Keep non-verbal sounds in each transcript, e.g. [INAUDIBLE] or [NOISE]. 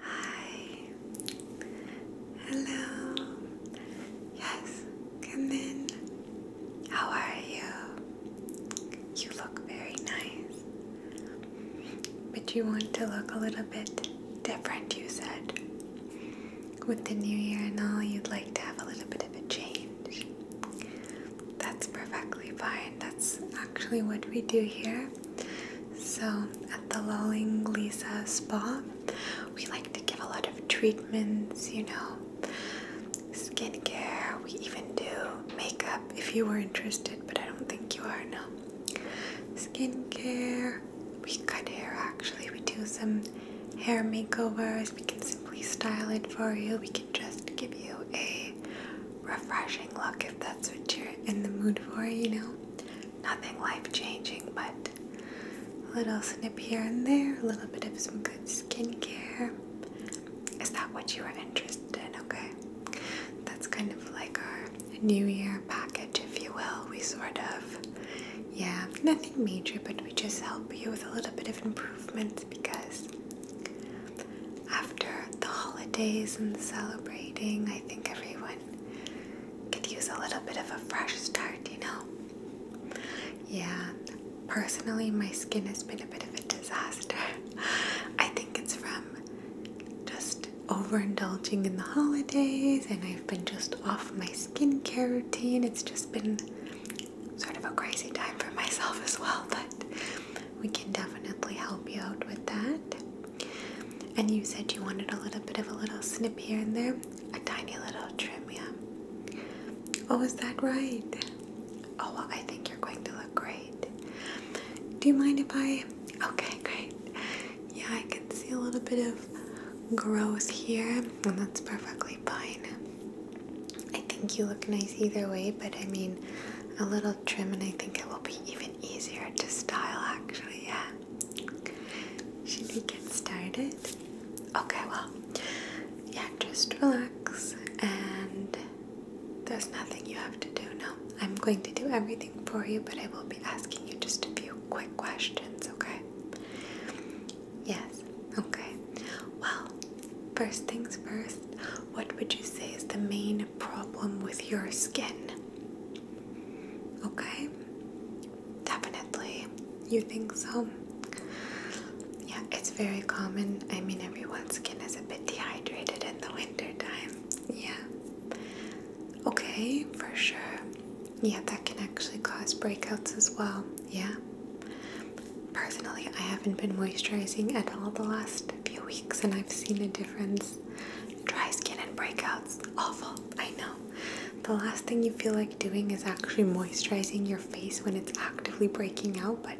Hi. Hello. Yes, come in. How are you? You look very nice. But you want to look a little bit different, you said. With the new year and all, you'd like to have a little bit of a change. That's perfectly fine. That's actually what we do here. So, at the Lolling Lisa Spa, we like to give a lot of treatments, you know, skincare. We even do makeup if you were interested, but I don't think you are, no. Skincare, we cut hair actually, we do some hair makeovers, we can simply style it for you, we can just give you a refreshing look if that's what you're in the mood for, you know? Nothing life changing, but a little snip here and there, a little bit of some good skincare. Is that what you are interested in? Okay. That's kind of like our New Year package, if you will. We sort of, yeah, nothing major, but we just help you with a little bit of improvement because after the holidays and celebrating, I think everyone could use a little bit of a fresh start, you know? Yeah, personally, my skin has been a bit of a disaster. [LAUGHS] I think it's from just overindulging in the holidays, and I've been just off my skincare routine. It's just been sort of a crazy time for myself as well, but we can definitely help you out with that. And you said you wanted a little bit of a little snip here and there, a tiny little trim, yeah. Oh, is that right? Oh, well, I think you're going to look great. Do you mind if I? Okay, great. Yeah, I can see a little bit of growth here, and that's perfectly fine. I think you look nice either way, but I mean, a little trim and I think it will be even easier to style actually, yeah. Should we get started? Okay, well, yeah, just relax and there's nothing you have to do now. I'm going to do everything for you, but I will be asking you just a few quick questions, okay? Yes, okay. Well, first things first, what would you say is the main problem with your skin? Okay, definitely. You think so? Yeah, it's very common. I mean, everyone's skin is a bit dehydrated in the winter time. Yeah. Okay, for sure. Yeah, that can actually cause breakouts as well. Yeah. Personally, I haven't been moisturizing at all the last few weeks and I've seen a difference Dry skin and breakouts, awful, I know. The last thing you feel like doing is actually moisturizing your face when it's actively breaking out, but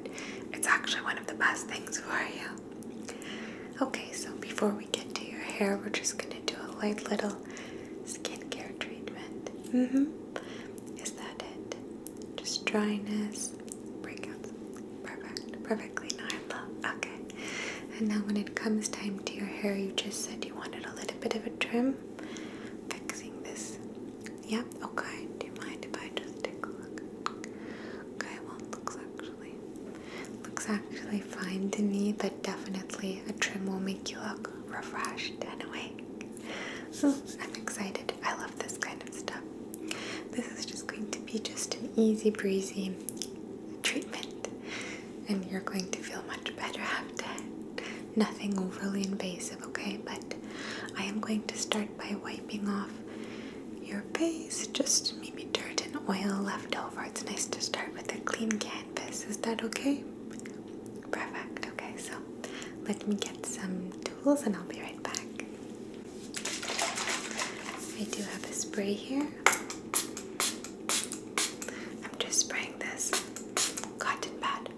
it's actually one of the best things for you. Okay, so before we get to your hair, we're just gonna do a light little skincare treatment. hmm Is that it? Just dryness, breakouts. Perfect, perfect. Okay. And now when it comes time to your hair, you just said you wanted a little bit of a trim. Fixing this. Yep, okay. Do you mind if I just take a look? Okay, well looks actually looks actually fine to me, but definitely a trim will make you look refreshed Anyway, So I'm excited. I love this kind of stuff. This is just going to be just an easy breezy treatment, and you're going to feel much better after Nothing overly invasive, okay? But I am going to start by wiping off your face, just maybe dirt and oil left over. It's nice to start with a clean canvas. Is that okay? Perfect. Okay, so let me get some tools and I'll be right back. I do have a spray here. I'm just spraying this cotton pad.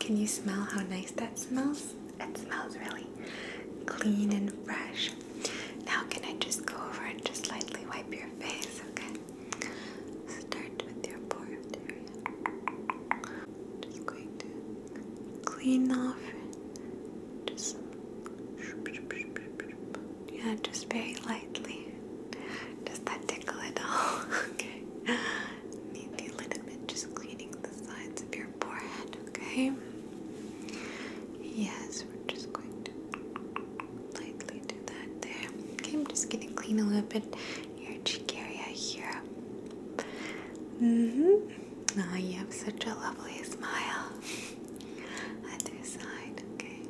Can you smell how nice that smells? It smells really clean and fresh. Now, can I just go over and just lightly wipe your face? Okay. Start with your forehead area. Just going to clean off just some yeah, just very lightly. Does that tickle at all? [LAUGHS] okay. Maybe a little bit, just cleaning the sides of your forehead, okay? Yes, we're just going to lightly do that there. Okay, I'm just gonna clean a little bit your cheek area here. Mm-hmm. Now oh, you have such a lovely smile. Other side, okay.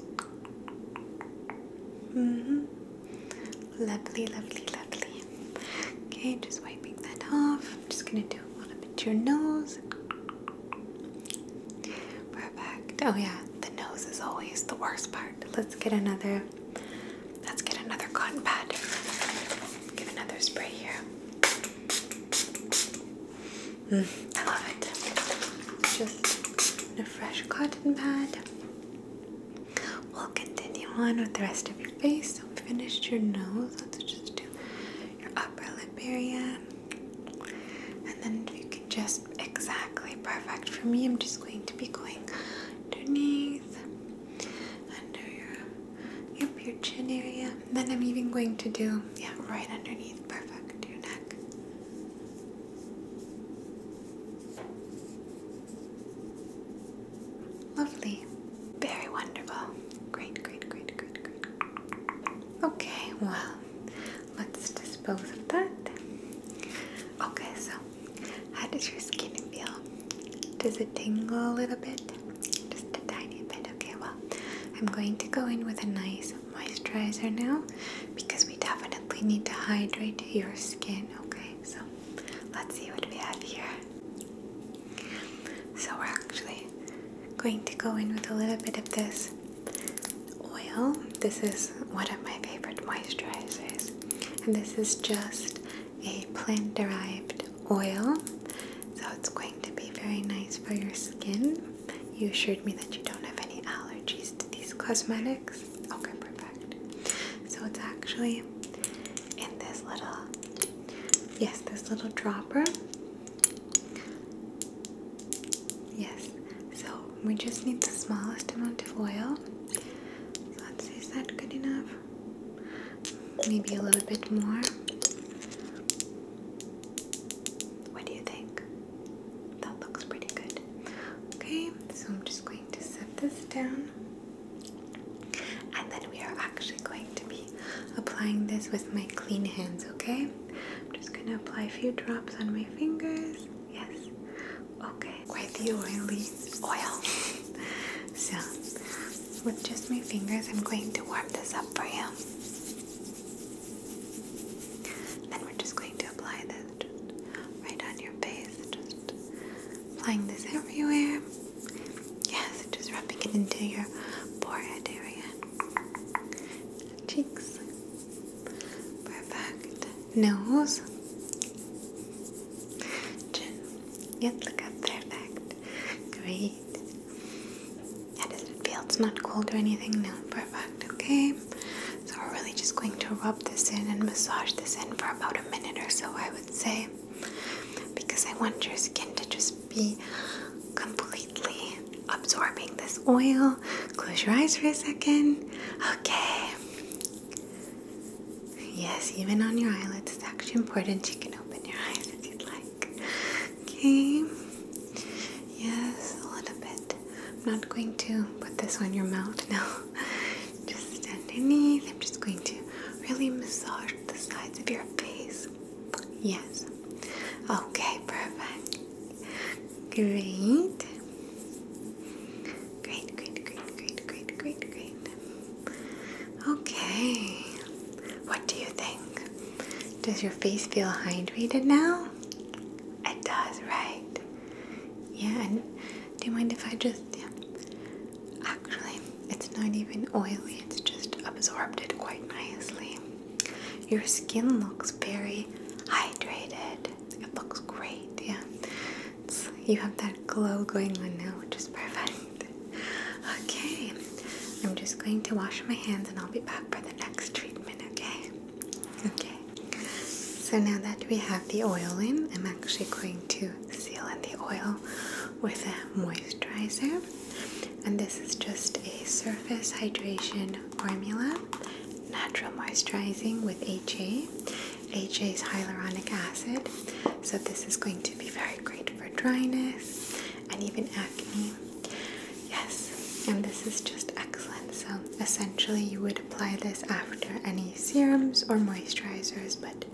hmm Lovely, lovely, lovely. Okay, just wiping that off. just gonna do a little bit to your nose. Perfect. Oh yeah, the nose is always the worst part. Let's get another let's get another cotton pad. Get another spray here. Mm, I love it. Just a fresh cotton pad. We'll continue on with the rest of your face. So we finished your nose. Let's just do your upper lip area. And then you can just exactly perfect for me, I'm just going to be going underneath, under your Yep, your chin area. And then I'm even going to do, yeah, right underneath. Perfect. Your neck. Lovely. Very wonderful. Great, great, great, great, great. Okay, well, let's dispose of that. Okay, so how does your skin feel? Does it tingle a little bit? Just a tiny bit. Okay, well, I'm going to go in with a nice moisturizer now because we definitely need to hydrate your skin. Okay, so let's see what we have here. So, we're actually going to go in with a little bit of this oil. This is one of my favorite moisturizers, and this is just a plant derived oil, so it's going to be very nice for your skin. You assured me that you don't have any allergies to these cosmetics. Okay, perfect. So it's actually in this little, yes, this little dropper. Yes, so we just need the smallest amount of oil. let's see, is that good enough? Maybe a little bit more. What do you think? That looks pretty good. Okay, so I'm just going to set this down. And then we are actually going to be applying this with my clean hands, okay? I'm just going to apply a few drops on my fingers. Yes. Okay. Quite the oily oil. [LAUGHS] so with just my fingers, I'm going to warm this up for you. Then we're just going to apply this right on your face, just applying this everywhere. Yes, just rubbing it into your forehead area, cheeks, perfect, nose, chin. Yes, look up, perfect, great. How does it feel? It's not cold or anything? No, perfect. Okay. So we're really just going to rub this in and massage this in for about a minute or so, I would say. Because I want your skin to just be completely absorbing this oil. Close your eyes for a second. Okay. Yes, even on your eyelids, it's actually important. You can open your eyes if you'd like. Okay. Yes, a little bit. I'm not going to put this on your mouth [LAUGHS] now. just underneath. I'm just going to really massage the sides of your face. Yes. Okay, perfect. Great. Great, great, great, great, great, great, great. Okay. What do you think? Does your face feel hydrated now? It does, right? Yeah, do you mind if I just, yeah. Actually, it's not even oily, it's just absorbed it quite nicely. Your skin looks very hydrated. It looks great, yeah. It's, you have that glow going on now, which is perfect. Okay, I'm just going to wash my hands and I'll be back for the next treatment, okay? Okay, so now that we have the oil in, I'm actually going to seal in the oil with a moisturizer. And this is just a surface hydration formula, natural moisturizing with HA. HA is hyaluronic acid, so this is going to be very great for dryness and even acne. Yes, and this is just excellent. So, essentially, you would apply this after any serums or moisturizers, but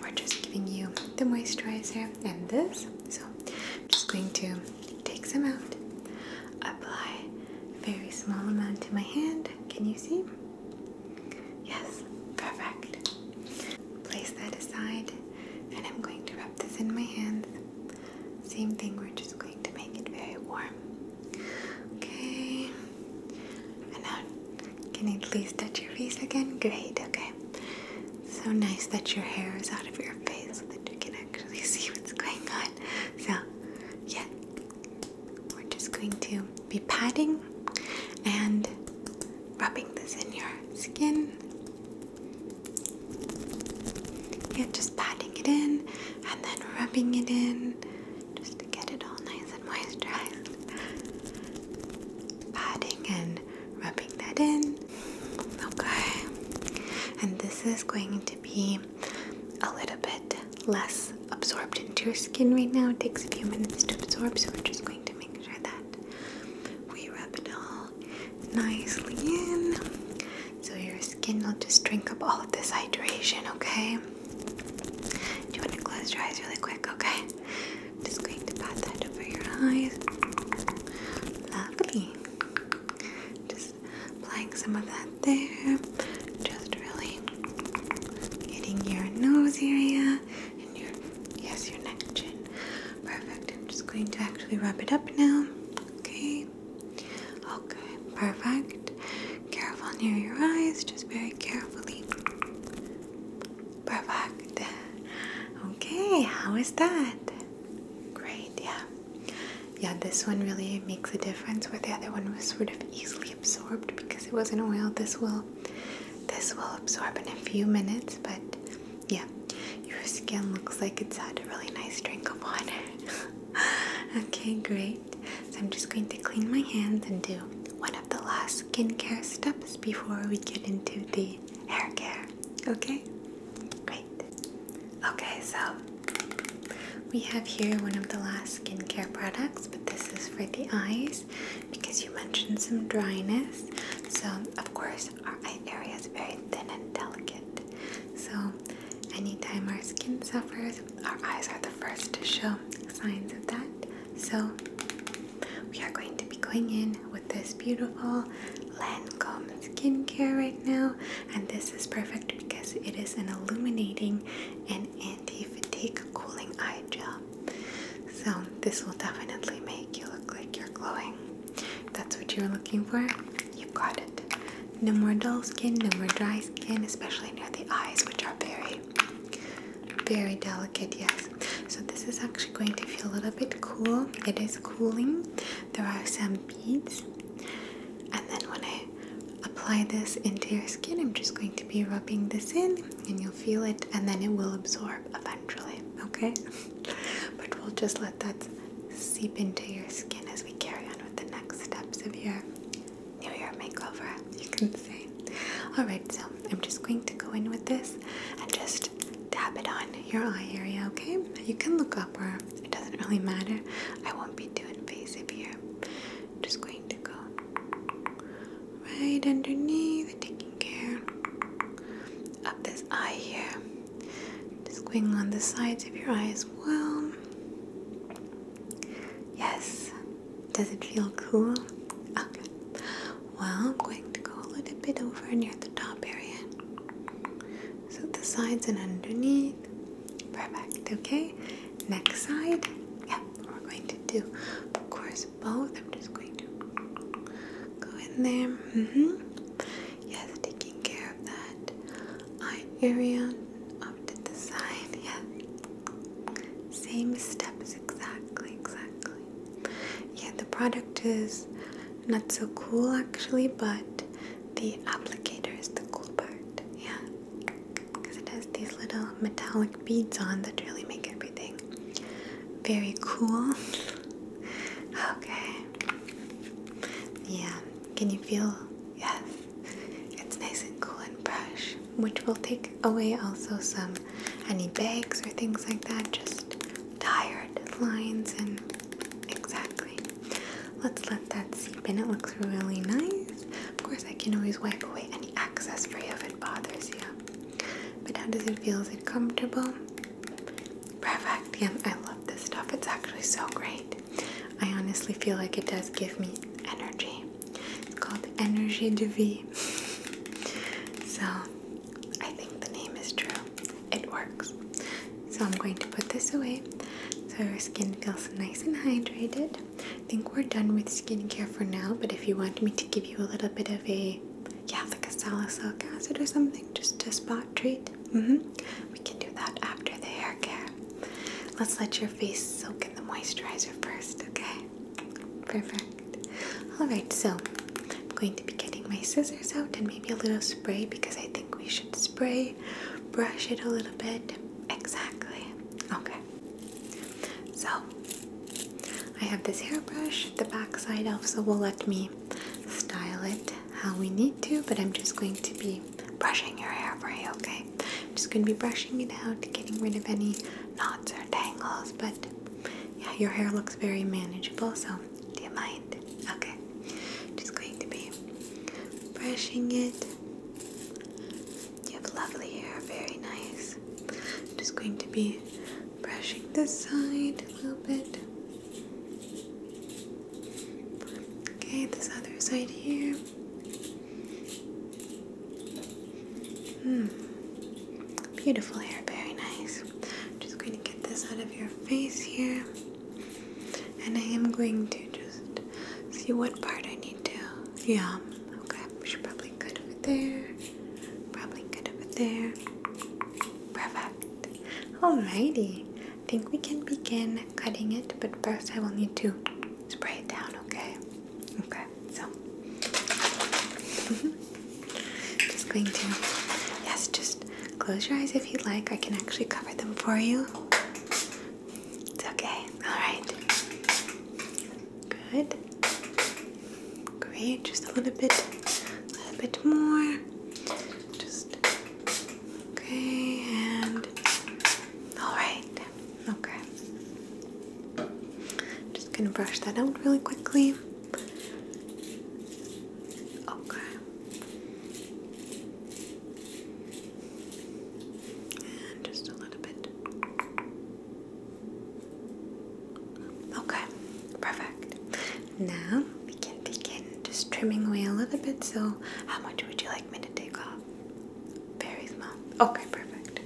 we're just giving you the moisturizer and this. So, I'm just going to take some out, apply very small amount to my hand. Can you see? Yes, perfect. Place that aside, and I'm going to rub this in my hands. Same thing, we're just going to make it very warm. Okay. And now, can you please touch your face again? Great, okay. So nice that your hair is out of your face so that you can actually [LAUGHS] see what's going on. So, yeah, we're just going to be patting and rubbing this in your skin yeah, just patting it in and then rubbing it in just to get it all nice and moisturized. Patting and rubbing that in. Okay. And this is going to be a little bit less absorbed into your skin right now. It takes a few minutes to absorb, so we're just going to make sure that we rub it all nicely in so your skin will just drink up all of this hydration, okay? Do you want to close your eyes really quick, okay? just going to pat that over your eyes. Lovely. Just applying some of that there. Just really getting your nose area and your yes, your neck chin. Perfect. I'm just going to actually wrap it up now. Okay. Okay, perfect. Careful near your eyes, just very carefully. Perfect. Okay, how is that? Great, yeah. Yeah, this one really makes a difference where the other one was sort of easily absorbed because it was not oil. This will this will absorb in a few minutes, but yeah, your skin looks like it's had a really nice drink of water. [LAUGHS] okay, great. So I'm just going to clean my hands and do one of the last skincare steps before we get into the hair care. Okay? Great. Okay, so we have here one of the last skincare products, but this is for the eyes because you mentioned some dryness. So, of course our eye area is very thin and delicate. So, anytime our skin suffers, our eyes are the first to show signs of that. So, we are going to be going in with this beautiful Lancome skincare right now, and this is perfect because it is an illuminating and anti fatigue cooling eye gel. So, this will definitely make you look like you're glowing that's what you're looking for, you've got it. No more dull skin, no more dry skin, especially near the eyes, which are very, very delicate, yes. So, this is actually going to feel a little bit cool. It is cooling. There are some beads. And then, when I apply this into your skin, I'm just going to be rubbing this in, and you'll feel it, and then it will absorb eventually, okay? [LAUGHS] but we'll just let that seep into your skin as we carry on with the next steps of your New Year makeover, you can say. Alright, so I'm just going to go in with this and just dab it on your eye area, okay? You can look up or it doesn't really matter. I won't be too invasive here. just going to go right underneath, taking up this eye here. Just going on the sides of your eyes. well. Yes. Does it feel cool? Well, I'm going to go a little bit over near the top area. So the sides and underneath. Perfect. Okay. Next side. Yeah, we're going to do, of course, both. I'm just going to go in there. Mm -hmm. Yes, taking care of that eye area up to the side. Yeah. Same steps exactly, exactly. Yeah, the product is not so cool actually, but the applicator is the cool part. Yeah, because it has these little metallic beads on that really make everything very cool. [LAUGHS] okay. Yeah, can you feel? Yes, it's nice and cool and fresh, which will take away also some any bags or things like that, just tired lines and exactly. Let's let that seep in. It looks really nice. Of course, I can always wipe away any excess for if it bothers you. But how does it feel? Is it comfortable? Perfectium. I love this stuff. It's actually so great. I honestly feel like it does give me energy. It's called Energy Du Vie. [LAUGHS] so I think the name is true. It works. So I'm going to put this away so your skin feels nice and hydrated. I think we're done with skincare for now, but if you want me to give you a little bit of a yeah, like a salicylic acid or something, just to spot treat. Mm -hmm. We can do that after the hair care. Let's let your face soak in the moisturizer first, okay? Perfect. Alright, so I'm going to be getting my scissors out and maybe a little spray because I think we should spray, brush it a little bit. Exactly. Okay. So I have this hairbrush, the back side also will let me style it how we need to, but I'm just going to be brushing your hair for okay? just going to be brushing it out, getting rid of any knots or tangles, but yeah, your hair looks very manageable, so do you mind? Okay, just going to be brushing it. You have lovely hair, very nice. just going to be brushing this side a little bit. Okay, this other side here. Hmm. Beautiful hair, very nice. I'm just going to get this out of your face here. And I am going to just see what part I need to. Yeah, okay. We should probably cut there. Probably good over there. Perfect. Alrighty. I think we can begin cutting it, but first I will need to spray it down, okay? Okay, so [LAUGHS] just going to yes, just close your eyes if you like. I can actually cover them for you. It's okay. Alright. Good. Great, just a little bit, a little bit more. Just okay, and all right, okay. Just gonna brush that out really quickly. Okay, and just a little bit. Okay, perfect. Now we can begin just trimming away a little bit. So, how much would you like me to take off? Very small. Okay, perfect.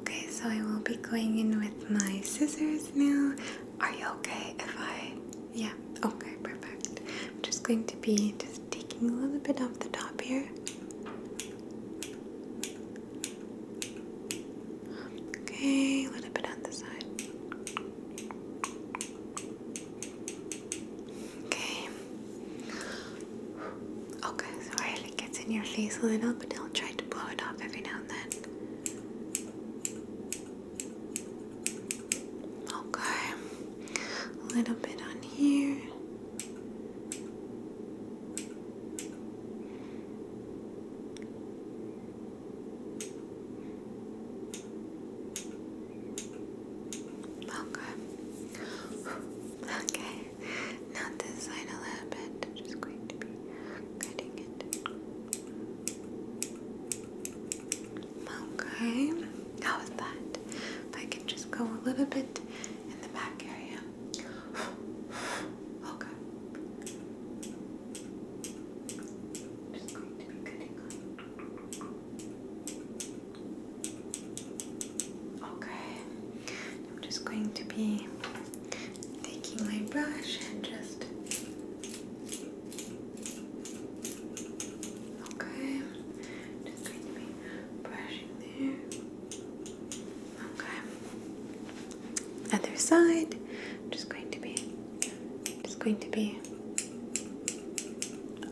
Okay, so I will be going in with my scissors now. Are you okay if I? Yeah, okay, perfect. I'm just going to be just taking a little bit off the top here. Okay, a little bit on the side. Okay. Okay, sorry it gets in your face a little, but I'll try to blow it off every now and then. Okay, a little bit on here. Okay. [SIGHS] Okay. Now this side a little bit. I'm just going to be cutting it. Okay. How was that? I can just go a little bit in the back area. Okay. I'm Okay. I'm just going to be taking my brush and just. Okay. Just going to be brushing there. Okay. Other side. I'm just going to be just going to be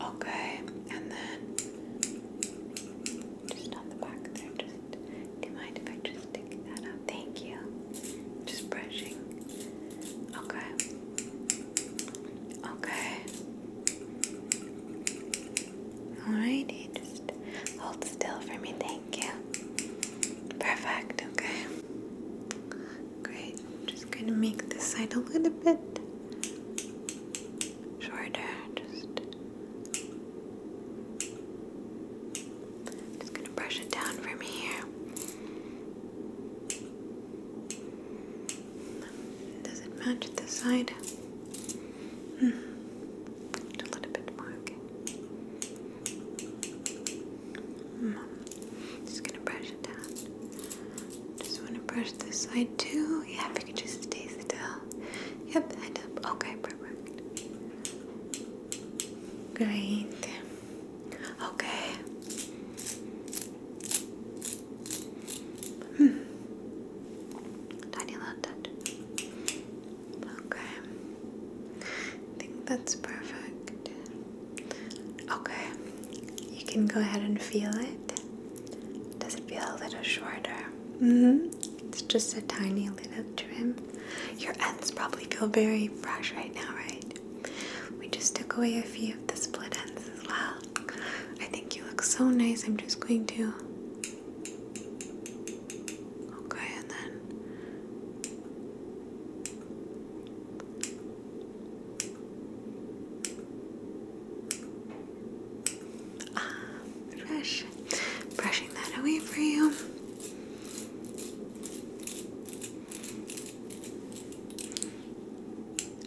okay, and then just on the back there. Just do you mind if I just stick that up? Thank you. Just brushing. Okay. Okay. Alrighty, just hold still for me. Thank Thank you. Perfect, okay. Great. just going to make this side a little bit shorter. Just, just going to brush it down from here. Does it match the side? Mm. A little bit more, okay. Mm. Just gonna brush it down. Just wanna brush this side too. Yeah, if you could just stay still. Yep, head up. Okay, perfect. Great. Okay. Hmm. Tiny little touch. Okay. I think that's perfect. Okay. You can go ahead and feel it. Does it feel a little shorter? Mm-hmm. It's just a tiny little trim. Your ends probably feel very fresh right now, right? We just took away a few of the split ends as well. I think you look so nice. I'm just going to Okay, and then ah, brush, brushing that away for you.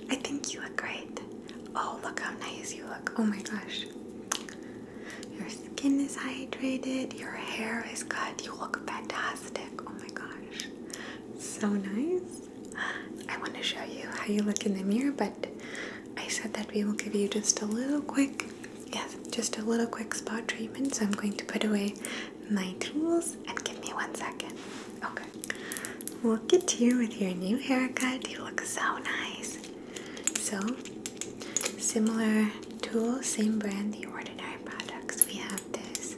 I think you look great. Oh, look how nice you look. Oh my gosh. Your skin is hydrated, your hair is cut, you look fantastic. Oh my gosh, so nice. I want to show you how you look in the mirror, but I said that we will give you just a little quick, yes, just a little quick spot treatment. So I'm going to put away my tools and give me one second. Okay, look at you with your new haircut. You look so nice. So, similar tool, same brand, the Ordinary Products. We have this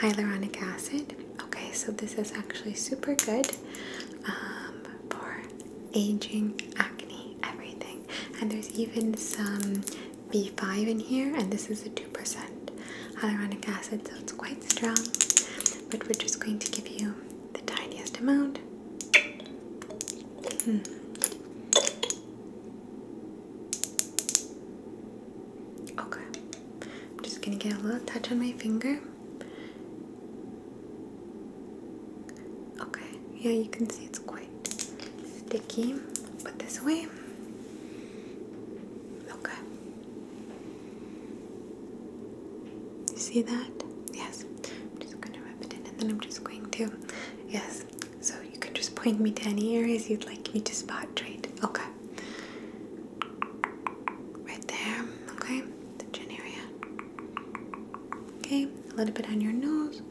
hyaluronic acid. Okay, so this is actually super good um, for aging, acne, everything. And there's even some B5 in here, and this is a 2% hyaluronic acid, so it's quite strong. But we're just going to give you the tiniest amount. Hmm. Okay, I'm just gonna get a little touch on my finger. Okay, yeah, you can see it's quite sticky. Put this away. Okay. You see that? Yes. I'm just gonna rub it in and then I'm just going to, yes, so you can just point me to any areas you'd like me to spot treat. Okay. Right there, okay? chin area. Okay, a little bit on your nose.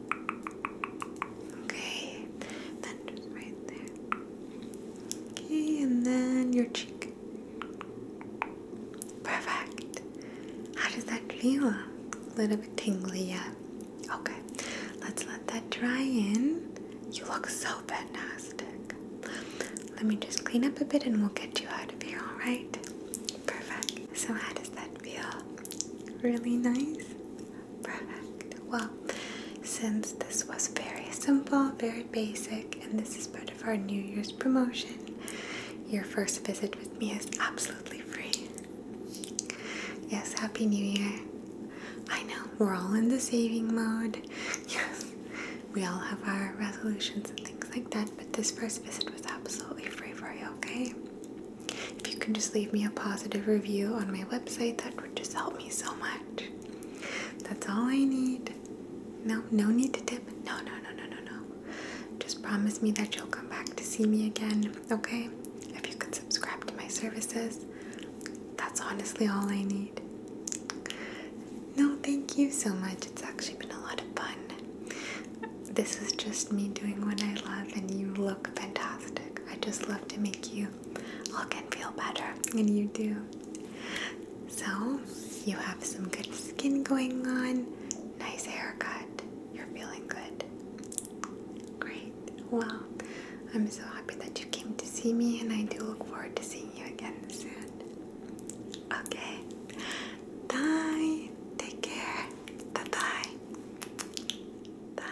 Okay, then just right there. Okay, and then your cheek. Perfect. How does that feel? A little bit tingly, yeah. Okay, let's let that dry in. You look so fantastic. Let me just clean up a bit and we'll get you out of here, alright? Perfect. So, how does that feel? Really nice? Perfect. Well, since this was very simple, very basic, and this is part of our New Year's promotion, your first visit with me is absolutely free. Yes, Happy New Year. I know, we're all in the saving mode. [LAUGHS] Yes, we all have our resolutions and things like that, but this first visit was absolutely free for you, okay? If you can just leave me a positive review on my website, that would just help me so much. That's all I need. No, no need to tip. No, no, no, no, no, no. Just promise me that you'll come back to see me again okay? If you could subscribe to my services, that's honestly all I need. No, thank you so much. It's actually been a lot of fun. This is just me doing what I love, and you look fantastic. I just love to make you look and feel better, and you do. So, you have some good skin going on, nice haircut, you're feeling good. Great. Well, I'm so happy that you came to see me, and I do look forward to seeing you again soon. Okay. Bye. Take care. Bye bye. Bye.